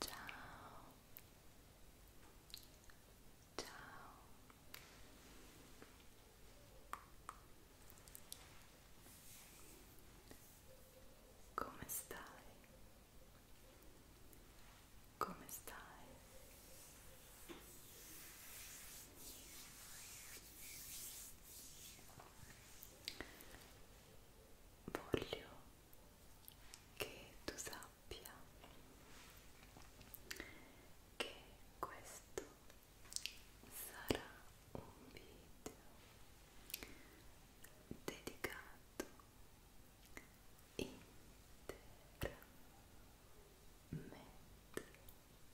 Ciao. Ciao. Come stai? Come stai? Come stai? voglio che tu sappia che questo sarà un video dedicato interamente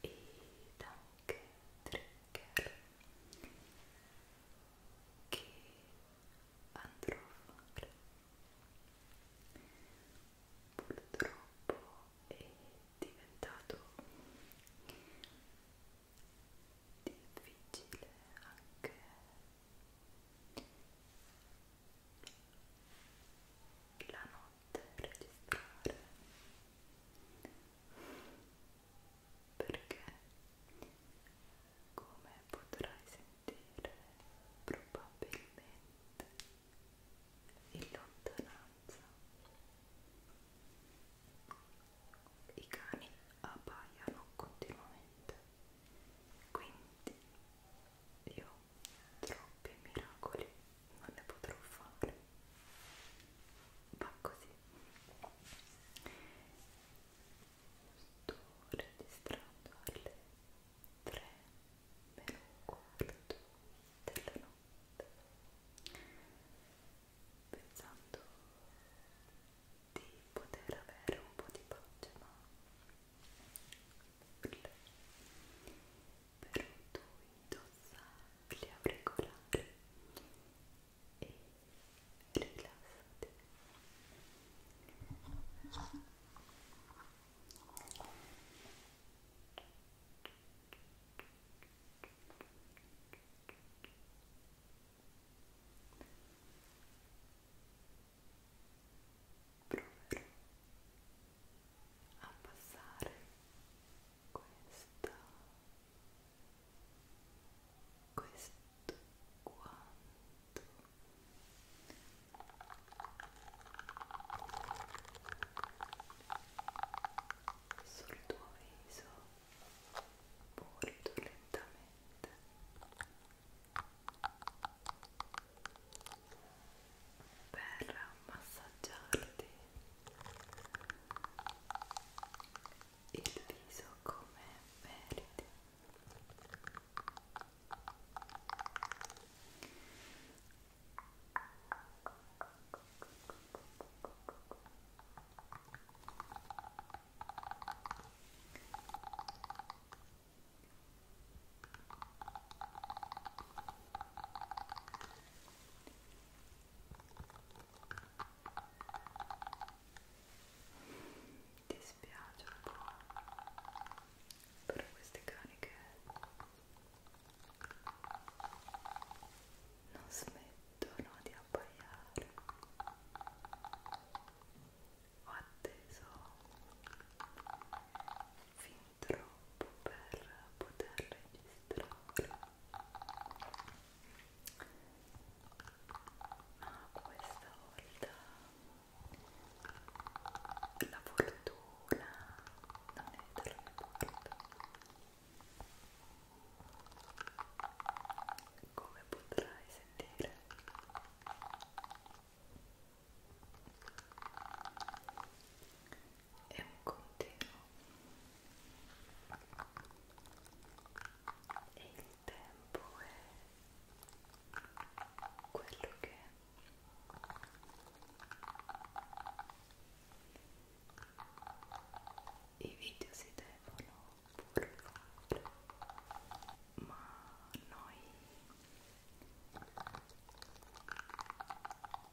ed anche trigger che andrò a fare purtroppo è diventato difficile anche la notte registrare perché come potrai sentire probabilmente in lontananza i cani abbaiano continuamente quindi io troppi miracoli non ne potrò fare va così sto registrando alle 3 meno un quarto della notte pensando di poter avere un po' di pace ma nulla però tu indossa auricolari e rilassati Proverò a passare questa questo quanto sul tuo viso molto lentamente per massaggiarti il viso come meriti ti spiace un po' per questi cani che non smettono di abbaiare ho atteso fin troppo per poter registrare ma questa volta la fortuna non è dalla mia parte come potrai sentire è un continuo e il tempo è quello che i video si devono pure fare ma noi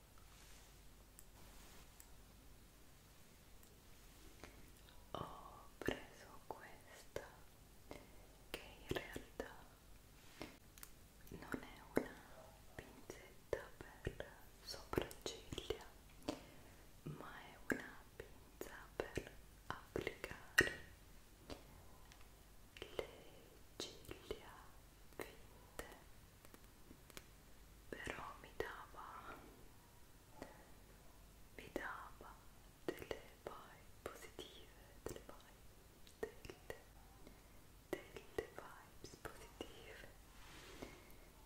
Ho preso questa che in realtà non è una pinzetta per sopracciglia, ma è una pinza per applicare le ciglia finte però mi dava mi dava delle vibe positive delle vibe delle, delle vibes positive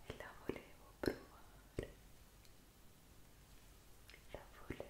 e la volevo provare la volevo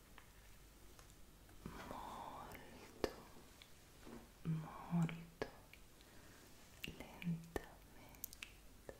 molto molto lentamente molto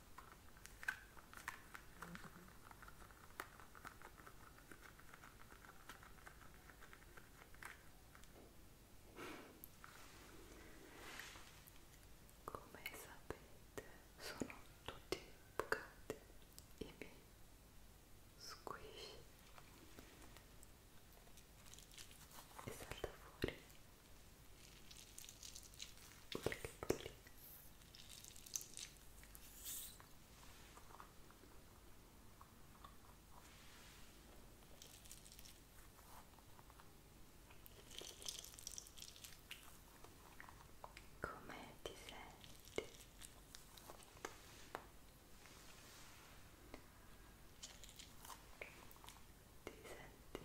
Come sapete, sono tutti bucati i miei squishy e salta fuori che pallina. Come ti senti? Ti senti più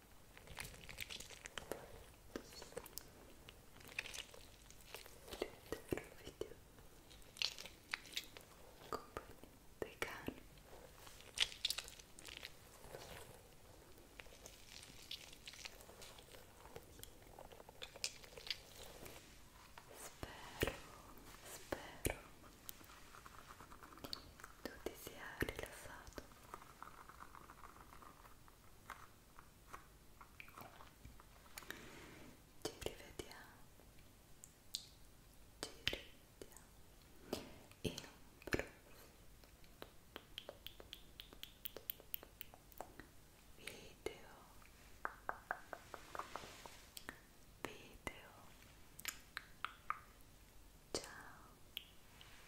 video compagni dei cani spero spero tu ti sia rilassato ci rivediamo. Ci rivediamo. E un video. Video. Ciao.